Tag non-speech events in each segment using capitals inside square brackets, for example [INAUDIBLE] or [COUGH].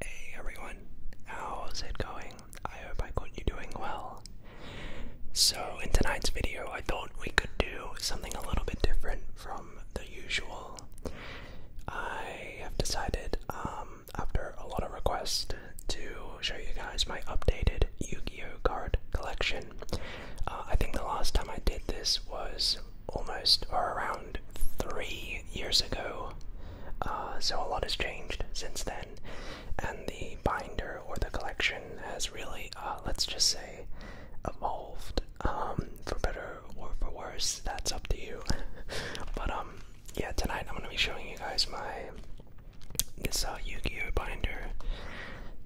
Hey everyone, how's it going? I hope I got you doing well. So, in tonight's video, I thought we could do something a little bit different from the usual. I have decided, um, after a lot of requests, to show you guys my updated Yu-Gi-Oh card collection. Uh, I think the last time I did this was almost or around three years ago. Uh, so a lot has changed since then, and the binder or the collection has really, uh, let's just say, evolved. Um, for better or for worse, that's up to you. [LAUGHS] but um, yeah, tonight I'm gonna be showing you guys my this uh, Yu-Gi-Oh binder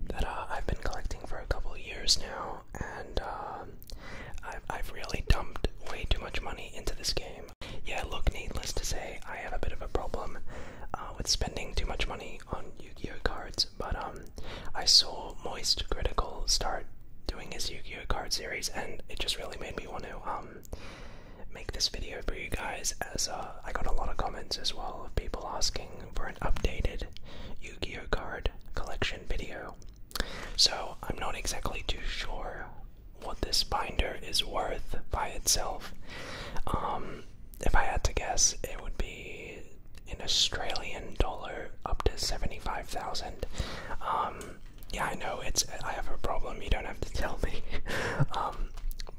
that uh, I've been collecting for a couple years now, and um, I've, really dumped way too much money into this game. Yeah, look, needless to say, I have a bit of a problem uh, with spending too much money on Yu-Gi-Oh cards, but um, I saw Moist Critical start doing his Yu-Gi-Oh card series, and it just really made me want to um, make this video for you guys as uh, I got a lot of comments as well of people asking for an updated Yu-Gi-Oh card collection video. So I'm not exactly too sure what this binder is worth by itself. Um, if I had to guess, it would be in Australian dollar up to 75,000. Um, yeah, I know it's I have a problem. You don't have to tell me. [LAUGHS] Um,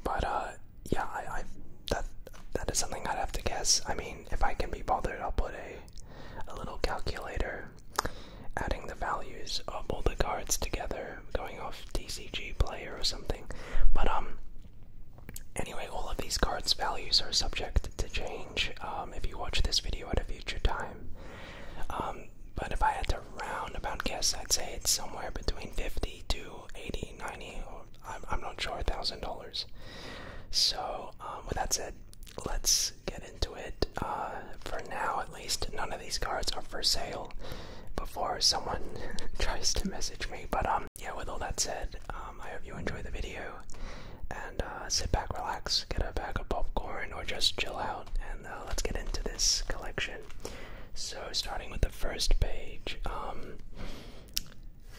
but uh, yeah, I, that that is something I'd have to guess. I mean, if I can be bothered, I'll put a a little calculator, adding the values of all the cards together, going off TCG player or something. But um, anyway, all of these cards' values are subject to change. Um, if you watch this video at a future time. Um, but if I had to round roundabout guess, I'd say it's somewhere between 50 70 to 80 90 or I'm, not sure thousand dollars so um, with that said let's get into it uh, for now at least none of these cards are for sale before someone [LAUGHS] tries to message me but um, yeah with all that said um, I hope you enjoy the video and uh, sit back relax get a bag of popcorn or just chill out and uh, let's get into this collection so starting with the the first page. Um,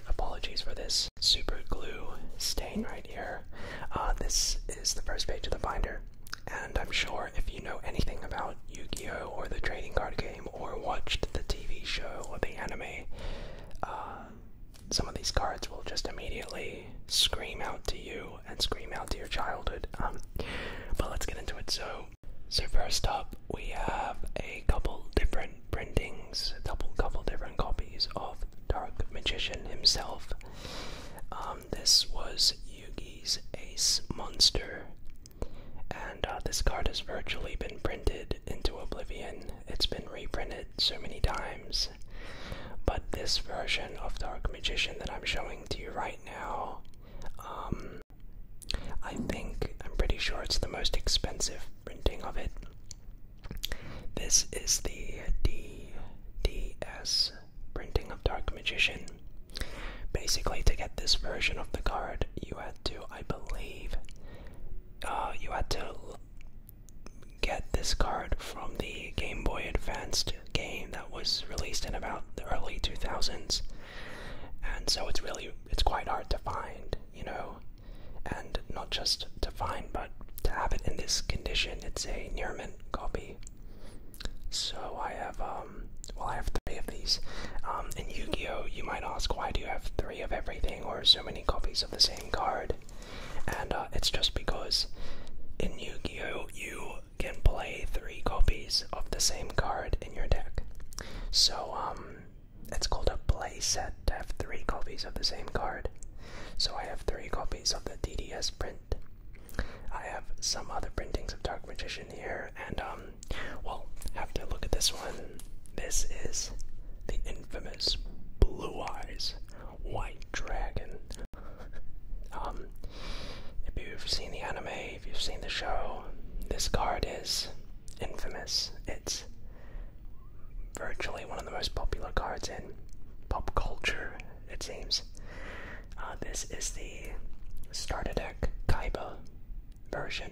apologies for this super glue stain right here. Uh, this is the first page of the binder, and I'm sure if you know anything about Yu Gi Oh! or the trading card game or watched the TV show or the anime, uh, some of these cards will just immediately scream out to you and scream out to your childhood. Um, but let's get into it. So, so first up, we have a couple different printings, a couple couple different copies of Dark Magician himself. Um, this was Yugi's Ace Monster, and uh, this card has virtually been printed into oblivion. It's been reprinted so many times, but this version of Dark Magician that I'm showing to you right now. Um, I think, I'm pretty sure it's the most expensive printing of it. This is the DDS printing of Dark Magician. Basically, to get this version of the card, you had to, I believe, uh, you had to get this card from the Game Boy Advanced game that was released in about the early 2000s. And so it's really it's quite hard to find, you know, and not just to find, but to have it in this condition. It's a near mint copy. So I have, um, well, I have three of these. Um, in Yu-Gi-Oh, you might ask, why do you have three of everything or so many copies of the same card? And uh, it's just because in Yu-Gi-Oh, you can play three copies of the same card in your deck. So, um, it's called a play set to have three copies of the same card. So, I have three copies of the DDS print. I have some other printings of Dark Magician here, and, um, well, have to look at this one. This is the infamous Blue Eyes White Dragon. [LAUGHS] um, if you've seen the anime, if you've seen the show, this card is infamous. It's virtually one of the most popular cards in pop culture, it seems. Uh, this is the starter deck Kaiba version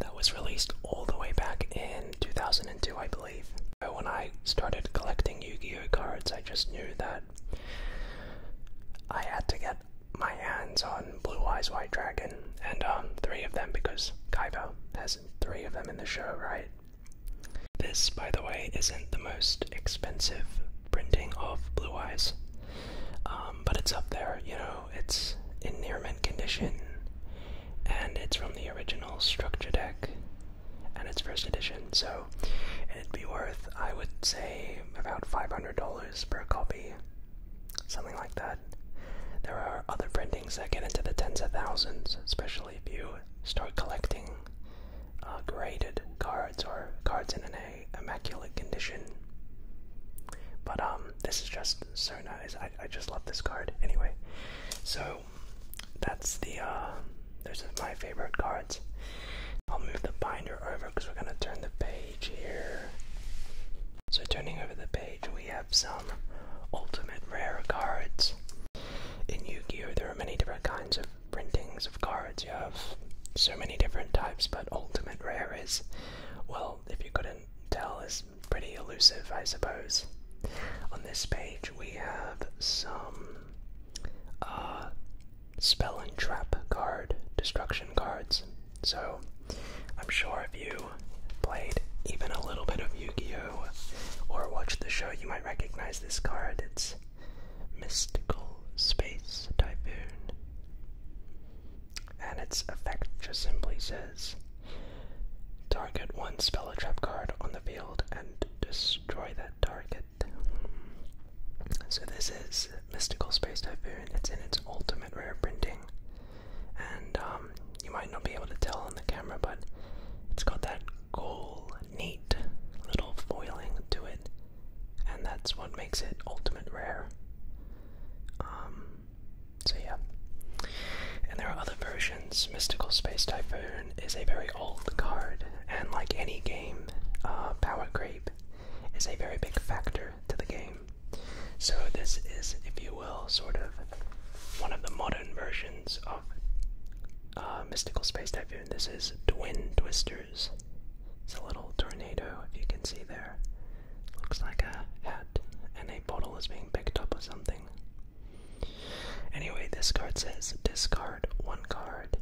that was released all the way back in 2002, I believe. But When I started collecting Yu Gi Oh cards, I just knew that I had to get my hands on Blue Eyes White Dragon, and um, three of them because Kaiba has three of them in the show, right? This, by the way, isn't the most expensive printing of Blue Eyes, um, but it's up there. You know, it's in near mint condition, and it's from the original structure deck, and it's first edition, so it'd be worth, I would say, about $500 per copy. Something like that. There are other printings that get into the tens of thousands, especially if you start collecting uh, graded cards or cards in an immaculate condition. But um, this is just so nice. I, I just love this card. Anyway, so that's the uh, those are my favorite cards. I'll move the binder over because we're gonna turn the page. So, turning over the page, we have some ultimate rare cards. In Yu Gi Oh! there are many different kinds of printings of cards. You have so many different types, but ultimate rare is, well, if you couldn't tell, is pretty elusive, I suppose. On this page, we have some uh, spell and trap card, destruction cards, so, I'm sure if you played even a little bit of Yu Gi Oh! or watched the show, you might recognize this card. It's Mystical Space Typhoon. And its effect just simply says target one spell or trap card on the field and destroy that target. So, this is mystical space typhoon. It's in its ultimate rare printing, and um, you might not be able to tell on the camera, but it's got that cool, neat little foiling to it, and that's what makes it ultimate rare. Um, so yeah, and there are other versions. Mystical Space Typhoon is a very old card, and like any game, uh, Power Creep is a very big factor to the game. So, this is, if you will, sort of one of the modern versions of uh, Mystical Space Typhoon. This is Twin Twisters. It's a little tornado, if you can see there. Looks like a hat, and a bottle is being picked up or something. Anyway, this card says discard one card,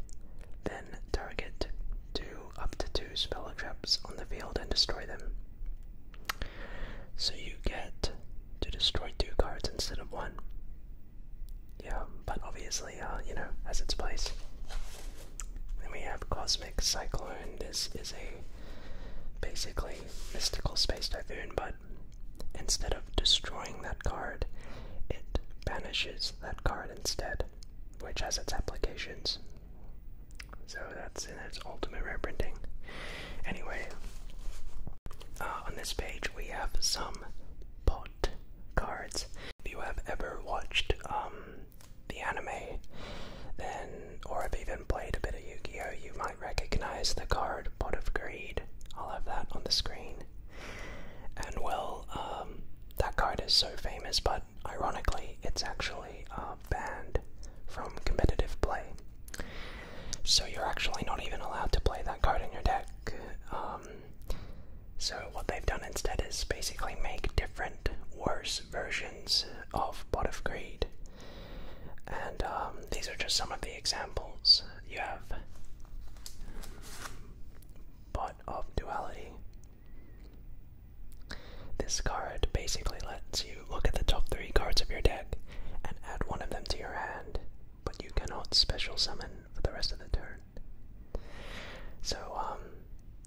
then target two up to two two spell traps on the field and destroy them. So you get to destroy two cards instead of one. Yeah, but obviously, uh, you know, has its place. Then we have Cosmic Cyclone. This is a basically mystical space typhoon, but instead of destroying that card, it banishes that card instead, which has its applications. So that's in its ultimate reprinting. Anyway, uh, on this page we have some pot cards. If you have ever watched um, the anime, then, or have even played a bit of Yu Gi Oh!, you might recognize the card Pot of Greed. I'll have that on the screen. And well, um, that card is so famous, but ironically, it's actually banned from competitive play. So you're actually not even allowed to play that card in your deck. Um, so what they've done instead is basically make different, worse versions of Pot of Greed. And um, these are just some of the examples. You have Pot of Duality, this card basically lets you look at the top three cards of your deck and add one of them to your hand, but you cannot special summon for the rest of the turn. So, um,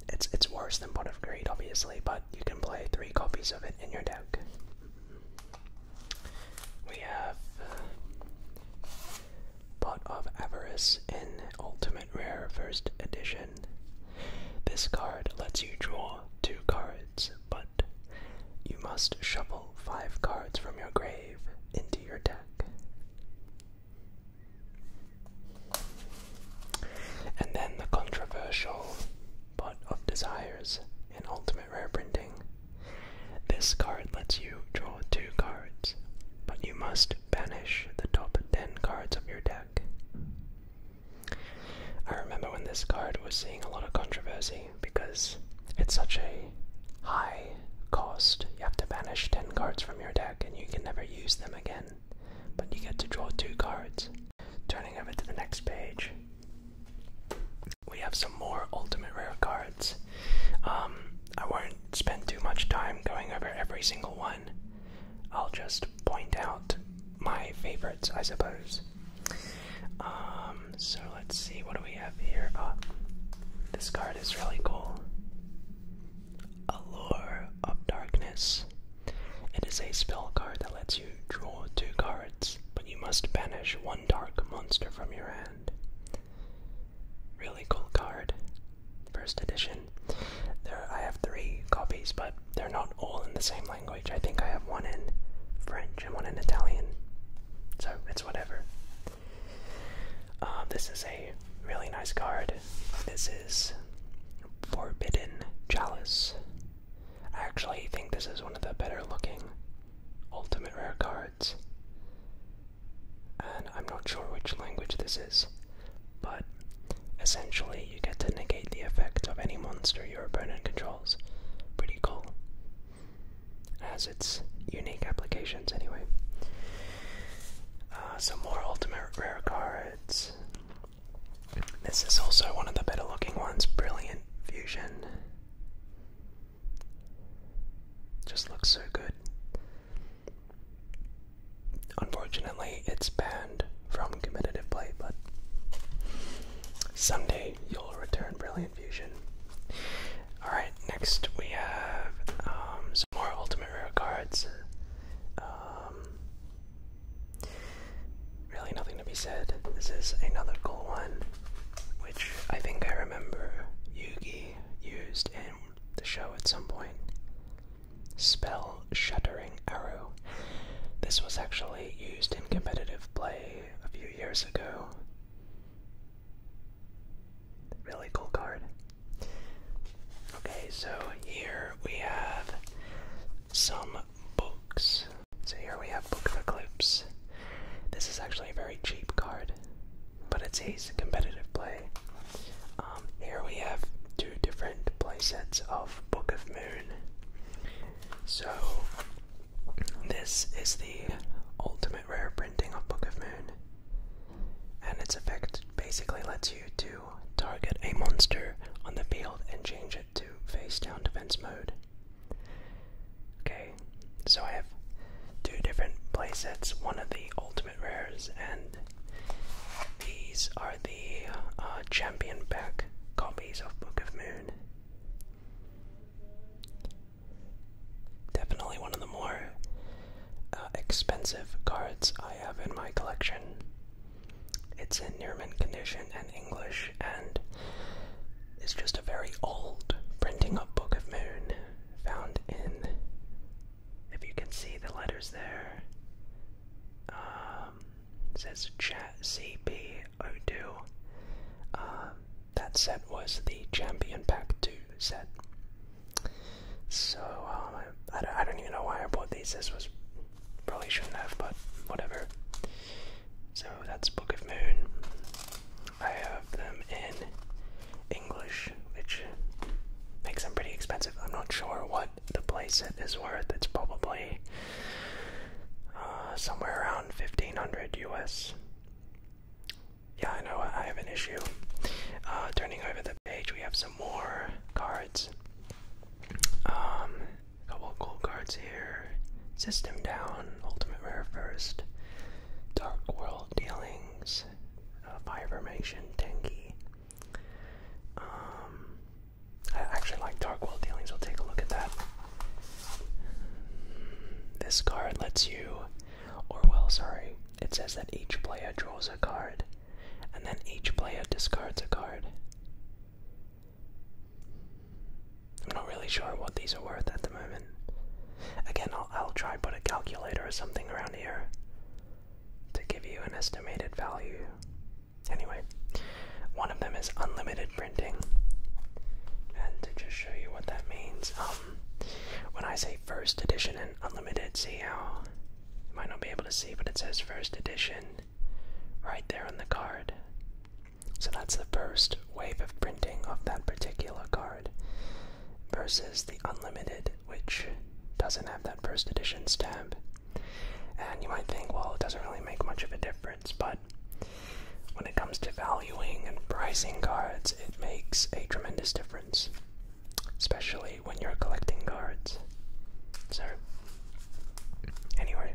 it's it's worse than Pot of Greed, obviously, but you can play three copies of it in your deck. We have Pot of Avarice in Ultimate Rare First Edition. This card lets you draw two cards, but you must shuffle five cards from your grave into your deck. And then the controversial Pot of Desires in Ultimate Rare Printing. This card lets you draw two cards, but you must banish the top 10 cards of your deck. I remember when this card was seeing a lot of controversy because it's such a high cost. You have to banish 10 cards from your deck and you can never use them again, but you get to draw two cards. Turning over to the next page, we have some more ultimate rare cards. Um, I won't spend too much time going over every single one. I'll just point out my favorites, I suppose. Um, so let's see, what do we have here? Uh, this card is really cool. Allure of Darkness. It is a spell card that lets you draw two cards, but you must banish one dark monster from your hand. Really cool card. First edition. There, I have three copies, but they're not all in the same language. I think I have one in French and one in Italian. So it's whatever. Uh, this is a really nice card. This is Forbidden Chalice. I actually think this is one of the better looking ultimate rare cards. And I'm not sure which language this is but essentially you get to negate the effect of any monster your opponent controls. Pretty cool. Has its unique applications, anyway. Uh, some more ultimate rare cards. This is also one of the better looking ones. Brilliant Fusion. Just looks so good. Unfortunately, it's banned from competitive play, but someday you'll return Brilliant Fusion. Alright, next we have um, some more Ultimate Rare cards. Um, really nothing to be said. This is another cool one, which I think I remember Yugi used in the show at some point. Spell Shattering Arrow. This was actually used in competitive play a few years ago. Really cool card. Okay, so here we have some books. So here we have Book of Eclipse. This is actually a very cheap card, but it sees competitive play. Um, here we have two different playsets of Book of so, this is the ultimate rare printing of Book of Moon, and its effect basically lets you to target a monster on the field and change it to face down defense mode. Okay, so I have two different playsets, one of the ultimate rares, and these are the the uh, champion pack copies of Book of Moon. Definitely one of the more uh, expensive cards I have in my collection. It's in near mint condition and English, and it's just a very old printing of Book of Moon found in. If you can see the letters there, um, it says chat CP02. Um, that set was the Champion Pack 2 set. So, um, I, don't, even know why I bought these. This was probably shouldn't have, but whatever. So that's Book of Moon. I have them in English, which makes them pretty expensive. I'm not sure what the place it worth. It's probably uh, somewhere around 1500 US. Yeah, I know I have an issue. Uh, turning over the page, we have some more cards. Um, a couple of cool cards here. System Down, Ultimate Rare First, Dark World Dealings, uh, Fire Formation, Tenki. Um, I actually like dark Darkwell dealings. We'll take a look at that. This card lets you, or well, sorry, it says that each player draws a card, and then each player discards a card. I'm not really sure what these are worth at the moment. Again, I'll try put a calculator or something around here to give you an estimated value. Anyway, one of them is unlimited printing. And to just show you what that means, um, when I say first edition and unlimited, see how you might not be able to see, but it says first edition right there on the card. So that's the first wave of printing of that particular card versus the unlimited, which doesn't have that first edition stamp. And you might think, well, it doesn't really make much of a difference, but when it comes to valuing and pricing cards, it makes a tremendous difference, especially when you're collecting cards. So, anyway,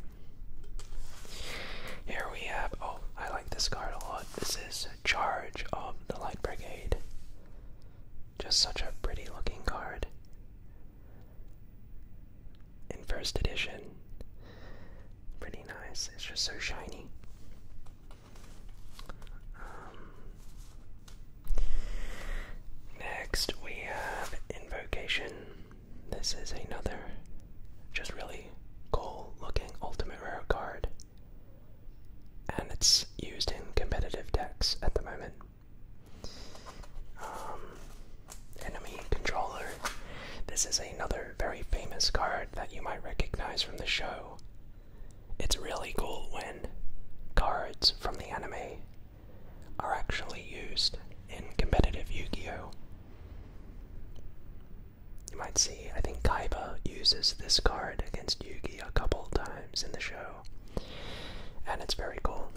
here we have. Oh, I like this card a lot. This is Charge of the Light Brigade. Just such a pretty looking card in first edition. Pretty nice. It's just so shiny. Um, next, we have Invocation. This is another just really cool looking ultimate rare card. And it's used in competitive decks at the moment. Um, enemy controller. This is another very famous card that you might recognize from the show. It's really cool when cards from the anime are actually used in competitive Yu Gi Oh! You might see, I think Kaiba uses this card against Yugi a couple times in the show, and it's very cool.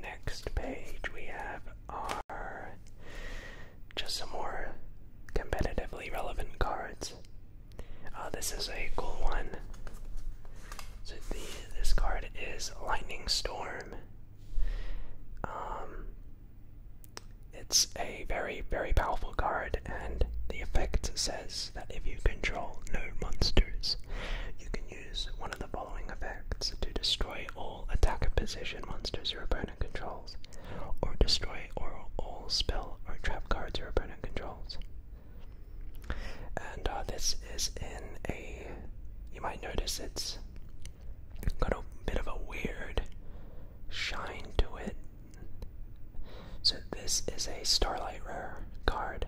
Next page, we have our just some more competitively relevant cards. Uh, this is a cool one. So this card is Lightning Storm. Um, it's a very, very powerful card, and the effect says that if you control no monsters, you can use one of the following effects to destroy all attacker position monsters your opponent controls, or destroy or all spell or trap cards your opponent controls. And uh, this is in a. You might notice it's got a bit of a weird shine to it. So, this is a Starlight Rare card.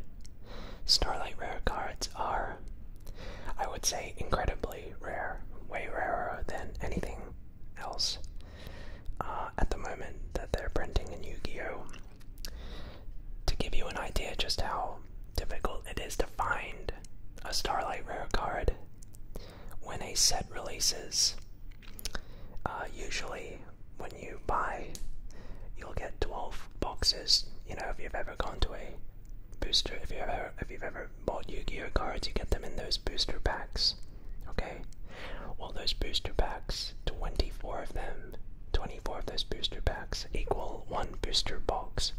Starlight rare cards are, I would say, incredibly rare, way rarer than anything else uh, at the moment that they're printing in Yu Gi Oh! To give you an idea just how difficult it is to find a Starlight rare card when a set releases, uh, usually when you buy, you'll get 12 boxes. You know, if you've ever gone to a booster, if you've ever if you've ever bought Yu-Gi-Oh cards, you get them in those booster packs. Okay, All those booster packs, 24 of them, 24 of those booster packs equal one booster box.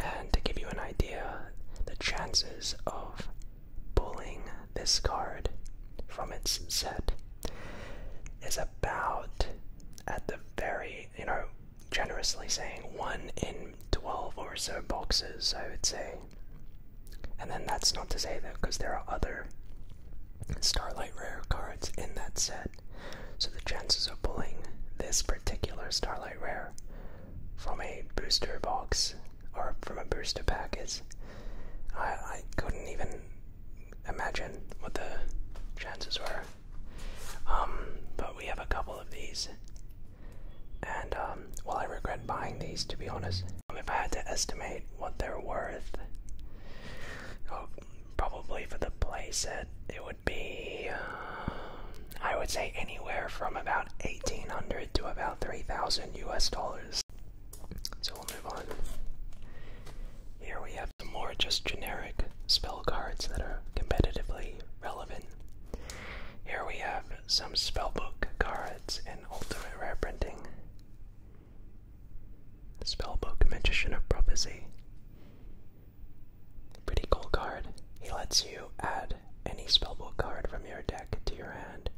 And to give you an idea, the chances of pulling this card from its set is about at the very, you know, generously saying one in 12 or so boxes, I would say. And then that's not to say that because there are other Starlight Rare cards in that set. So the chances of pulling this particular Starlight Rare from a booster box or from a booster package, I, I couldn't even imagine what the chances were. Um, but we have a couple of these. And, um, while I regret buying these to be honest. Um, if I had to estimate what they're worth, oh, probably for the playset, it would be, uh, I would say, anywhere from about 1800 to about 3000 US dollars. So we'll move on. Here we have some more just generic spell cards that are competitively relevant. Here we have some spellbook cards in ultimate rare printing. Spellbook Magician of Prophecy. Pretty cool card. He lets you add any spellbook card from your deck to your hand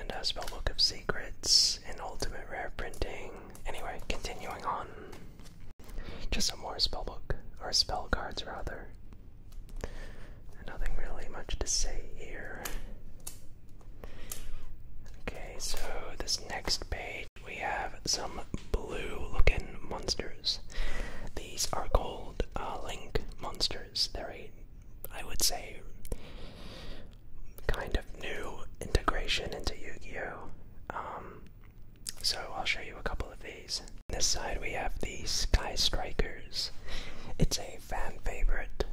and a uh, spellbook of secrets, and ultimate rare printing. Anyway, continuing on. Just some more spellbook, or spell cards rather. Nothing really much to say here. Okay, so this next page we have some blue looking monsters. These are called uh, Link monsters. They're a, I would say, kind of new integration into Yu-Gi-Oh. Um, so I'll show you a couple of these. this side we have the Sky Strikers. It's a fan favorite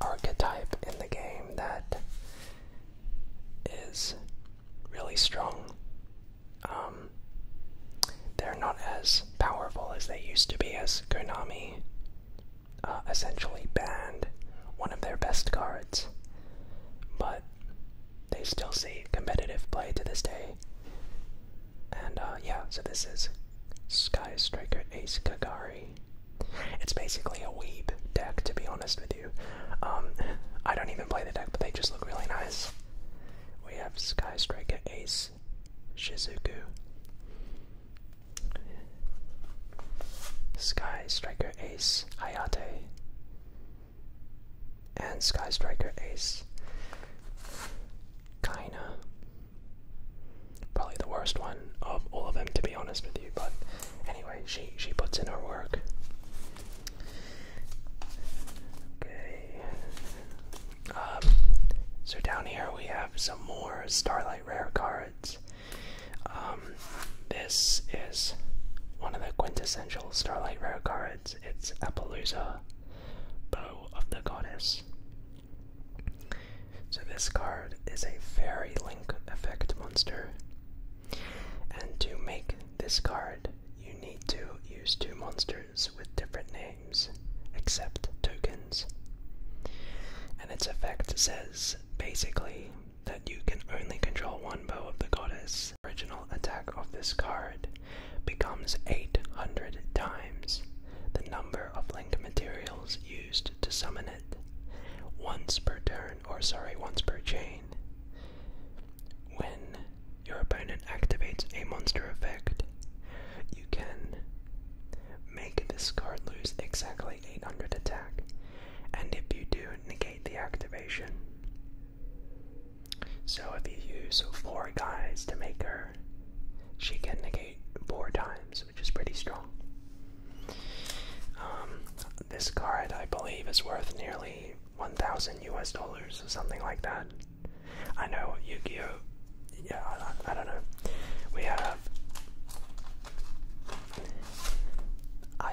archetype in the game that is really strong. Um, they're not as powerful as they used to be as Konami uh, essentially banned one of their best cards, but they still see competitive play to this day. And uh, yeah, so this is Sky Striker Ace Kagari. It's basically a weep deck, to be honest with you. Um, I don't even play the deck, but they just look really nice. We have Sky Striker Ace Shizuku. Sky Striker Ace Hayate and Sky Striker Ace Kaina. Probably the worst one of all of them to be honest with you, but anyway, she she puts in her work. Okay. Um so down here we have some more Starlight Rare cards. Um, this is one of the quintessential Starlight Rare cards. It's Appaloosa, Bow of the Goddess. So, this card is a fairy link effect monster. And to make this card, you need to use two monsters with different names, except tokens. And its effect says basically that you can only control one bow of the goddess. Original attack of this card becomes 800 times the number of link materials used to summon it once per turn, or sorry, once per chain. When your opponent activates a monster effect, you can make this card lose exactly 800 attack and if you do, negate the activation. So if you use four guys to make her, she can negate four times, which is pretty strong. Um, this card, I believe, is worth nearly 1,000 US dollars or something like that. I know Yu Gi Oh! Yeah, I, don't know. We have have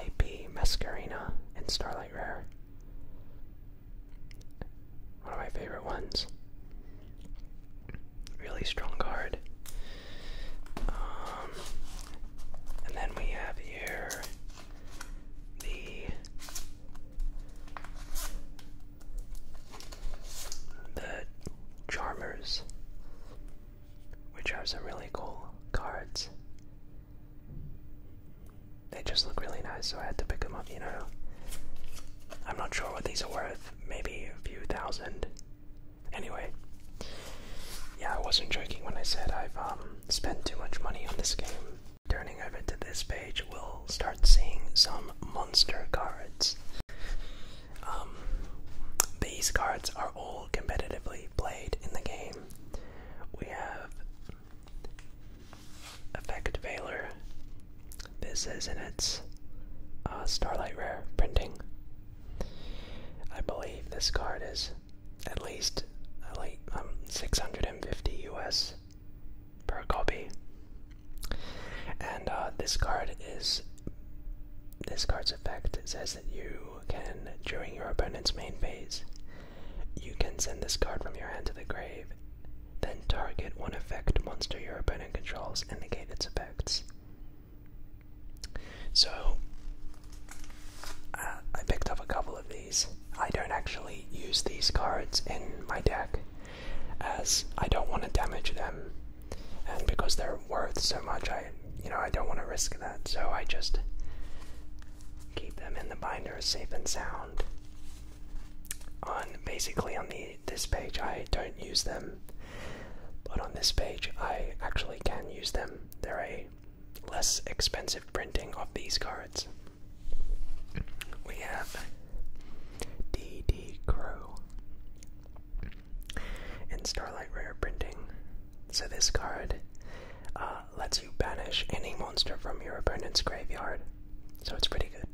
IP Mascarina and Starlight Rare. One of my favorite ones. Really strong card. Um, and then we have here the the Charmers which are some really cool cards. They just look really nice, so I had to pick them up, you know. I'm not sure what these are worth, maybe a few thousand. Anyway, yeah, I wasn't joking when I said I've um, spent too much money on this game. Turning over to this page, we'll start seeing some monster cards. Um, these cards are all competitively played in the game. We have Effect Veiler. This is in its uh, Starlight Rare printing. I believe this card is at least uh, like um, 650 US per copy. And uh, this card is this card's effect says that you during your opponent's main phase, you can send this card from your hand to the grave, then target one effect monster your opponent controls and negate its effects. So, uh, I picked up a couple of these. I don't actually use these cards in my deck as I don't want to damage them, and because they're worth so much, I you know, I don't want to risk that, so I just keep them in the binder safe and sound. On basically on the this page, I don't use them, but on this page, I actually can use them. They're a less expensive printing of these cards. We have D.D. Crow, in Starlight Rare printing. So this card uh, lets you banish any monster from your opponent's graveyard. So it's pretty good.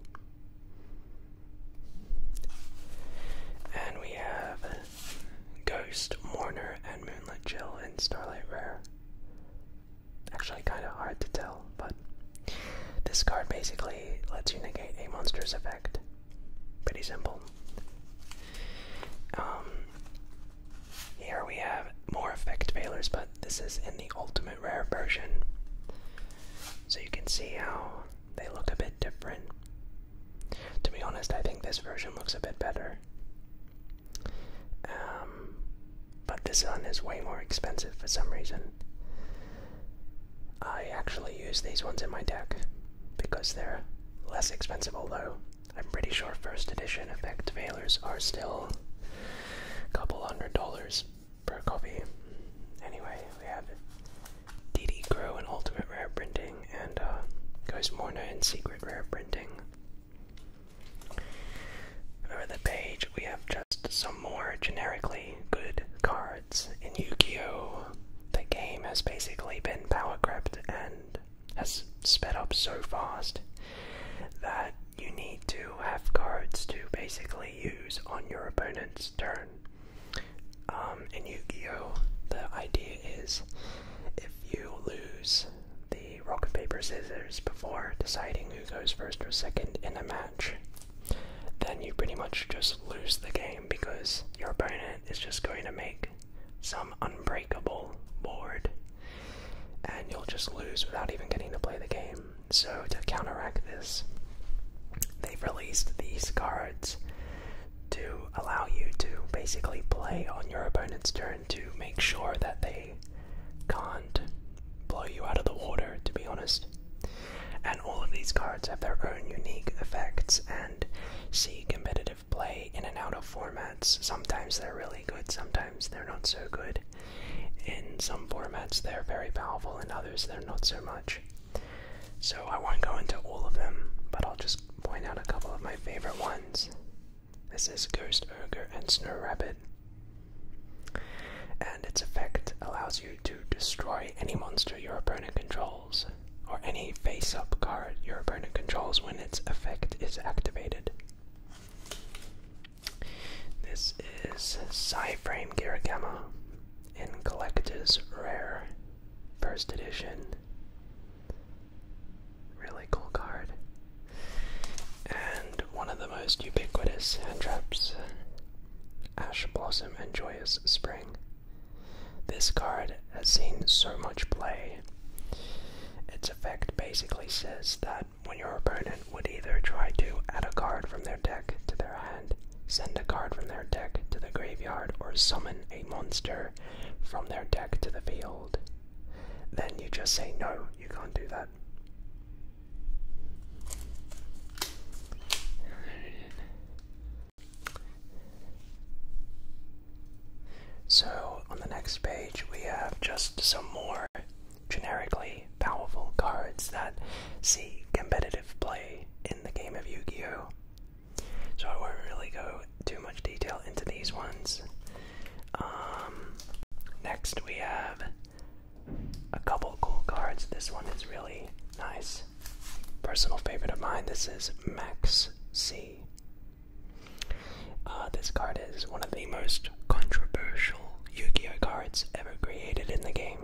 And we have Ghost, Mourner, and Moonlit Jill in Starlight Rare. Actually, kind of hard to tell, but this card basically lets you negate a monster's effect. Pretty simple. Um, here we have more effect failures, but this is in the ultimate rare version. So you can see how they look a bit different. To be honest, I think this version looks a bit better. Um, but this one is way more expensive for some reason. I actually use these ones in my deck because they're less expensive, although I'm pretty sure first edition effect mailers are still a couple hundred dollars per copy. Anyway, we have DD Grow and Ultimate Rare Printing and uh, Ghost Morna and Secret Rare Printing. Over the page, we have just some more generically good cards. In Yu Gi Oh! the game has basically been power crept and has sped up so fast that you need to have cards to basically use on your opponent's turn. Um, in Yu Gi Oh! the idea is if you lose the rock, paper, scissors before deciding who goes first or second in a match, then you pretty much just lose the game because your opponent is just going to make some unbreakable board, and you'll just lose without even getting to play the game. So, to counteract this, they've released these cards to allow you to basically play on your opponent's turn to make sure that they can't blow you out of the water, to be honest. And all of these cards have their own unique effects, and see competitive play in and out of formats. Sometimes they're really good, sometimes they're not so good. In some formats, they're very powerful, in others, they're not so much. So I won't go into all of them, but I'll just point out a couple of my favorite ones. This is Ghost Urger and Snow Rabbit. And its effect allows you to destroy any monster your opponent controls or any face up card your opponent controls when its effect is activated. This is Cyframe Giragama in Collector's Rare, first edition. Really cool card. And one of the most ubiquitous hand traps Ash Blossom and Joyous Spring. This card has seen so much play. Its effect basically says that when your opponent would either try to add a card from their deck to their hand, send a card from their deck to the graveyard, or summon a monster from their deck to the field, then you just say, No, you can't do that. So, on the next page, we have just some more generically powerful cards that see competitive play in the game of Yu Gi Oh! So, I won't really go too much detail into these ones. Um, next, we have a couple cool cards. This one is really nice. Personal favorite of mine. This is Max C. Uh, this card is one of the most controversial Yu Gi Oh cards ever created in the game.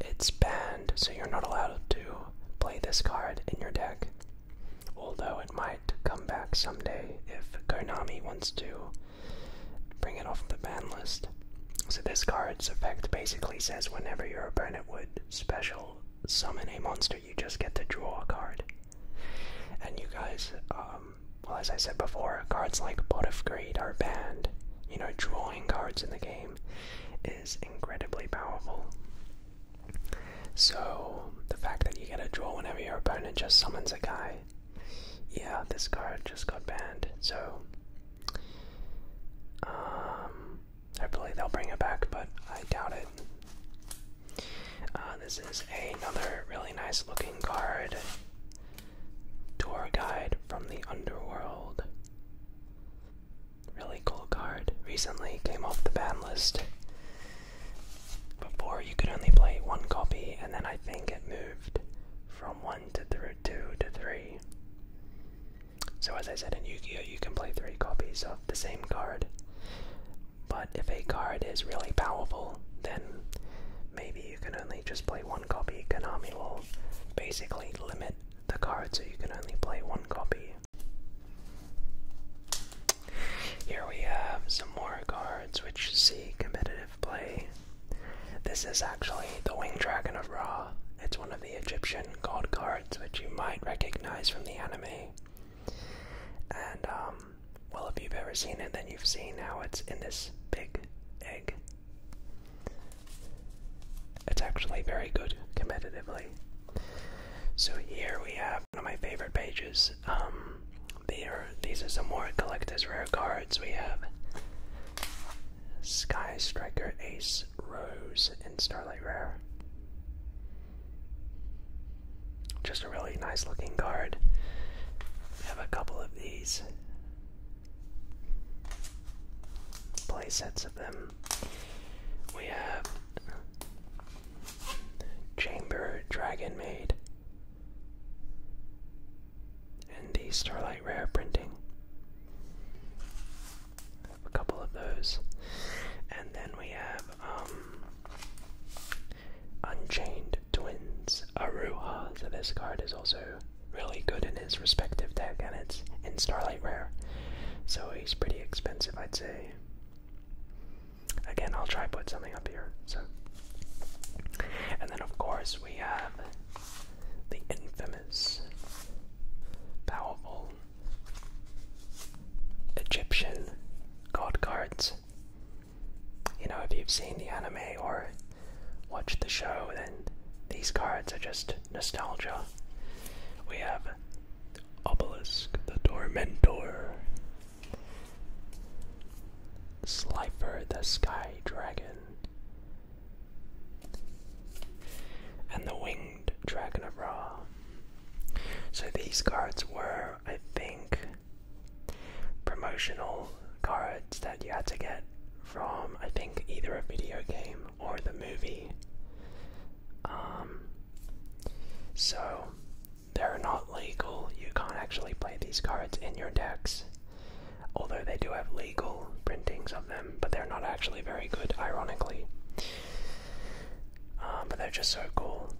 It's banned, so you're not allowed to play this card in your deck, although it might come back someday if Konami wants to bring it off the ban list. So, this card's effect basically says whenever your opponent would special summon a monster you just get to draw a card. And you guys, um, well, as I said before, cards like Pot of Greed are banned. You know, drawing cards in the game is incredibly powerful. So, the fact that you get to draw whenever your opponent just summons a guy, yeah, this card just got banned. So, um, I believe they'll bring it back, but I doubt it. Uh, this is another really nice looking card. Tour guide from the underworld. Really cool card. Recently came off the ban list. Before you could only play one copy, and then I think it moved from one to th two to three. So as I said in Yu-Gi-Oh, you can play three copies of the same card. But if a card is really powerful, then maybe you can only just play one copy. Konami will basically limit the card so you can only play one copy. Here we have some more cards which see competitive play. This is actually the Winged Dragon of Ra. It's one of the Egyptian god cards which you might recognize from the anime. And, um, well, if you've ever seen it, then you've seen how it's in this big egg. It's actually very good competitively. So here we have one of my favorite pages. Um, these are some more collector's rare cards. We have Sky Striker Ace Rose and Starlight Rare. Just a really nice looking card. We have a couple of these play sets of them. We have Chamber Dragon Maid and the Starlight Rare printing. I have a couple of those. And then we have um, Unchained Twins, Aruha. So this card is also really good in his respective deck, and it's in Starlight Rare. So he's pretty expensive, I'd say. Again, I'll try put something up here. So, and then of course we have the infamous, powerful Egyptian god cards. You know, if you've seen the anime or watched the show, then these cards are just nostalgia. We have Obelisk the Tormentor, Slifer the Sky Dragon, and the Winged Dragon of Ra. So these cards were I think, promotional cards that you had to get from, I think, either a video game or the movie. Um, so, they're not legal. You can't actually play these cards in your decks. Although they do have legal printings of them, but they're not actually very good, ironically. Uh, but they're just so cool.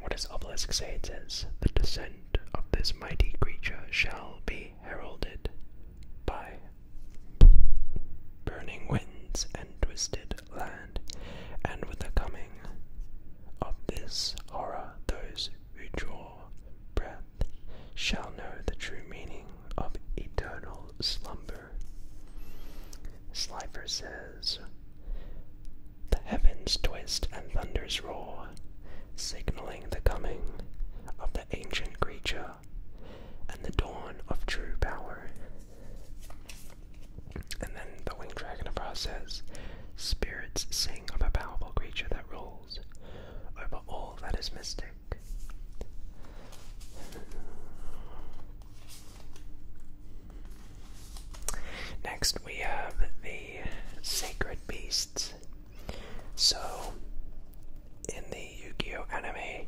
What does obelisk say? It says, The descent of this mighty creature shall be heralded by burning winds and twisted land, and with the coming of this horror, those who draw breath shall know the true meaning of eternal slumber. Slifer says, the heavens twist and thunders roar, signaling the coming of the ancient creature and the dawn of true power. And then the winged dragon of Ra says, Spirits sing of a powerful creature that rules over all that is mystic. Next, we have the Sacred Beasts. So, in the Yu Gi Oh! anime,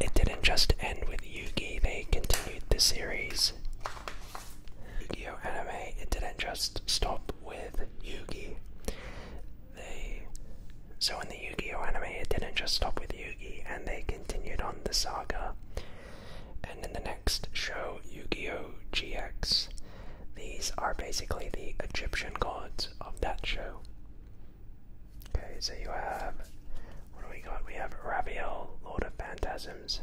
it didn't just end with Yugi, they continued the series. Yu Gi Oh! anime, it didn't just stop with Yugi. They. So, in the Yu Gi Oh! anime, it didn't just stop with Yugi, and they continued on the saga. And in the next show, Yu Gi Oh! GX. These are basically the Egyptian gods of that show. Okay, so you have. What do we got? We have Raviel, Lord of Phantasms,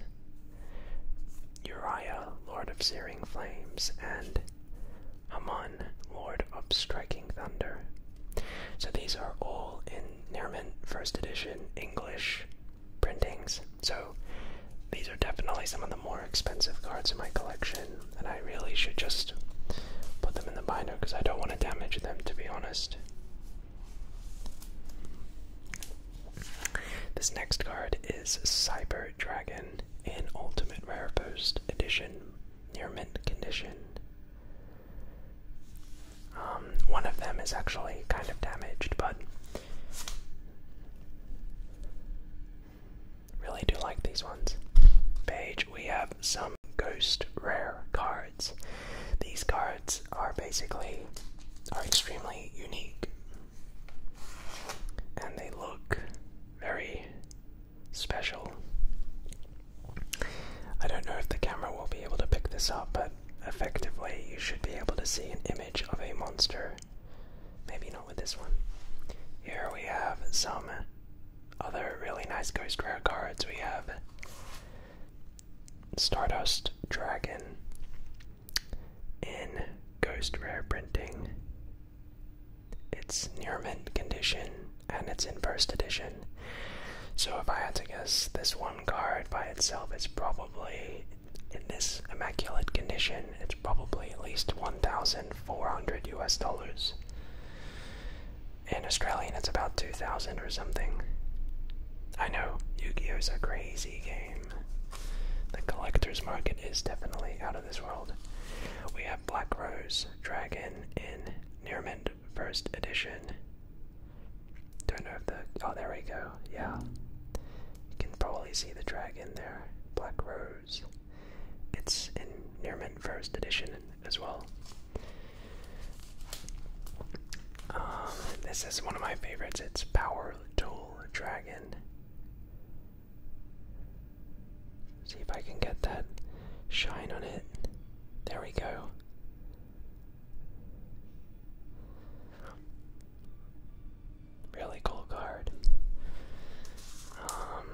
Uriah, Lord of Searing Flames, and Amon, Lord of Striking Thunder. So these are all in Nerman First Edition English printings. So these are definitely some of the more expensive cards in my collection, and I really should just put them in the binder because I don't want to damage them, to be honest. This next card is Cyber Dragon in Ultimate Rare Post Edition, near mint condition. Um, one of them is actually kind of damaged, but really do like these ones. Page, we have some ghost rare cards. These cards are basically are extremely unique, and they look very special. I don't know if the camera will be able to pick this up, but effectively, you should be able to see an image of a monster. Maybe not with this one. Here we have some other really nice ghost rare cards. We have Stardust Dragon in ghost rare printing. It's near mint condition and it's in first edition. So if I had to guess, this one card by itself is probably in this immaculate condition, it's probably at least 1,400 US dollars. In Australian, it's about 2,000 or something. I know, Yu Gi Oh! is a crazy game. The collector's market is definitely out of this world. We have Black Rose Dragon in Nearmint First Edition. Don't know if the. Oh, there we go. Yeah. You can probably see the dragon there. Black Rose. It's in Near First Edition as well. Um, this is one of my favorites. It's Power Tool Dragon. See if I can get that shine on it. There we go. Really cool card. Um,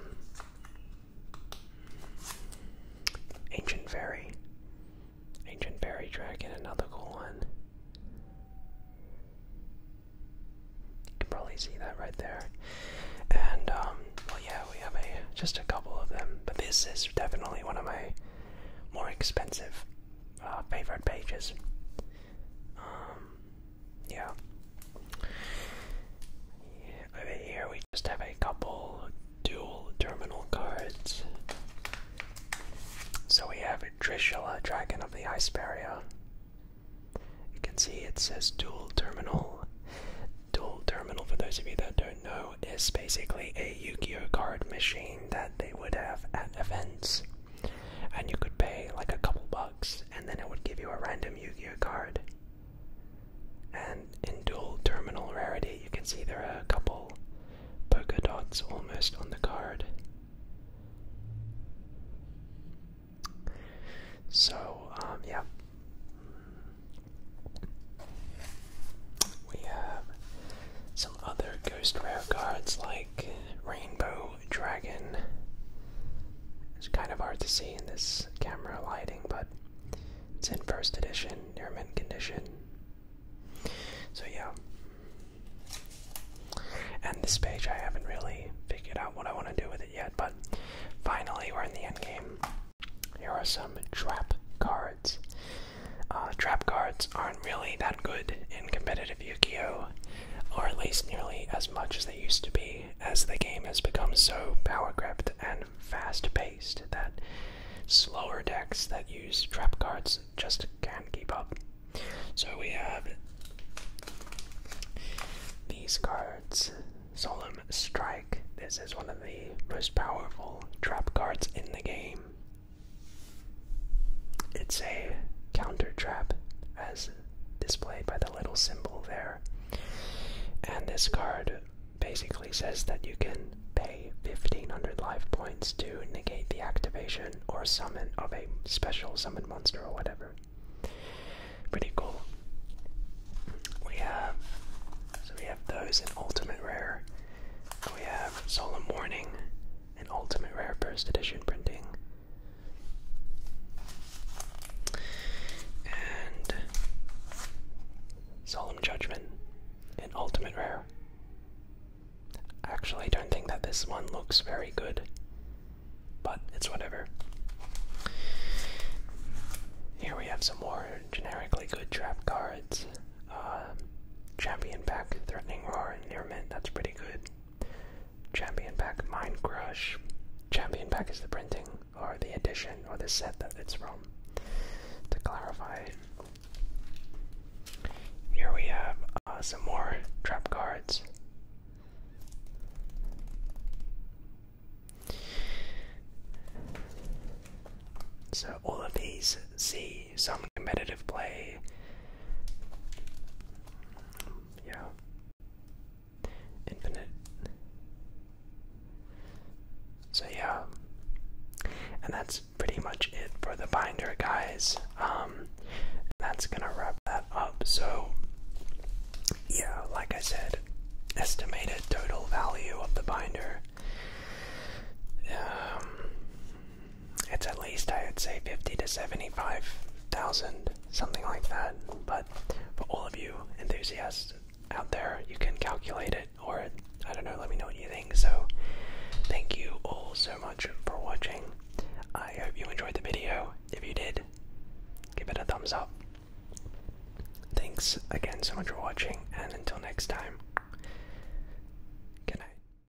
Ancient Fairy. Ancient Fairy Dragon, another cool one. You can probably see that right there. And, um, well, yeah, we have a just a couple of them, but this is definitely one of my more expensive uh, favorite pages. Um, yeah. here we just have a couple dual terminal cards. So we have Drishula, Dragon of the Iceperia. You can see it says dual terminal. Dual terminal, for those of you that don't know, is basically a Yu-Gi-Oh card machine that they would have at events. And you could pay like a couple bucks, and then it would give you a random Yu Gi Oh card. And in dual terminal rarity, you can see there are a couple polka dots almost on the card. So, um, yeah we have some other ghost rare cards like Rainbow Dragon. It's kind of hard to see in this camera lighting, but it's in first edition, near mint condition. So, yeah. And this page, I haven't really figured out what I want to do with it yet, but finally, we're in the end game. Here are some trap cards. Uh, trap cards aren't really that good in competitive Yu Gi Oh! or at least nearly as much as they used to be, as the game has become so power gripped and fast paced that slower decks that use trap cards just can't keep up. So we have these cards Solemn Strike. This is one of the most powerful trap cards in the game. It's a counter trap, as displayed by the little symbol there. And this card basically says that you can pay 1500 life points to negate the activation or summon of a special summoned monster or whatever. Pretty cool. We have so we have those in Ultimate Rare. We have Solemn Warning, an Ultimate Rare First Edition printing. And Solemn Judgment in Ultimate Rare. Actually, I don't think that this one looks very good, but it's whatever. Here we have some more generically good trap cards. Um, champion pack Threatening Roar and Near that's pretty good. Champion pack Mind Crush. Champion pack is the printing, or the edition, or the set that it's from. To clarify, here we have uh, some more trap cards. So all of these see some competitive play. Yeah. Infinite. So yeah. And that's pretty much it for the binder, guys. Um, that's gonna wrap that up. So, yeah, like I said, estimated total value of the binder. Um, it's at least I would say fifty to seventy-five thousand, something like that. But for all of you enthusiasts out there, you can calculate it, or I don't know. Let me know what you think. So, thank you all so much for watching. I hope you enjoyed the video. If you did, give it a thumbs up. Thanks again so much for watching, and until next time, good night.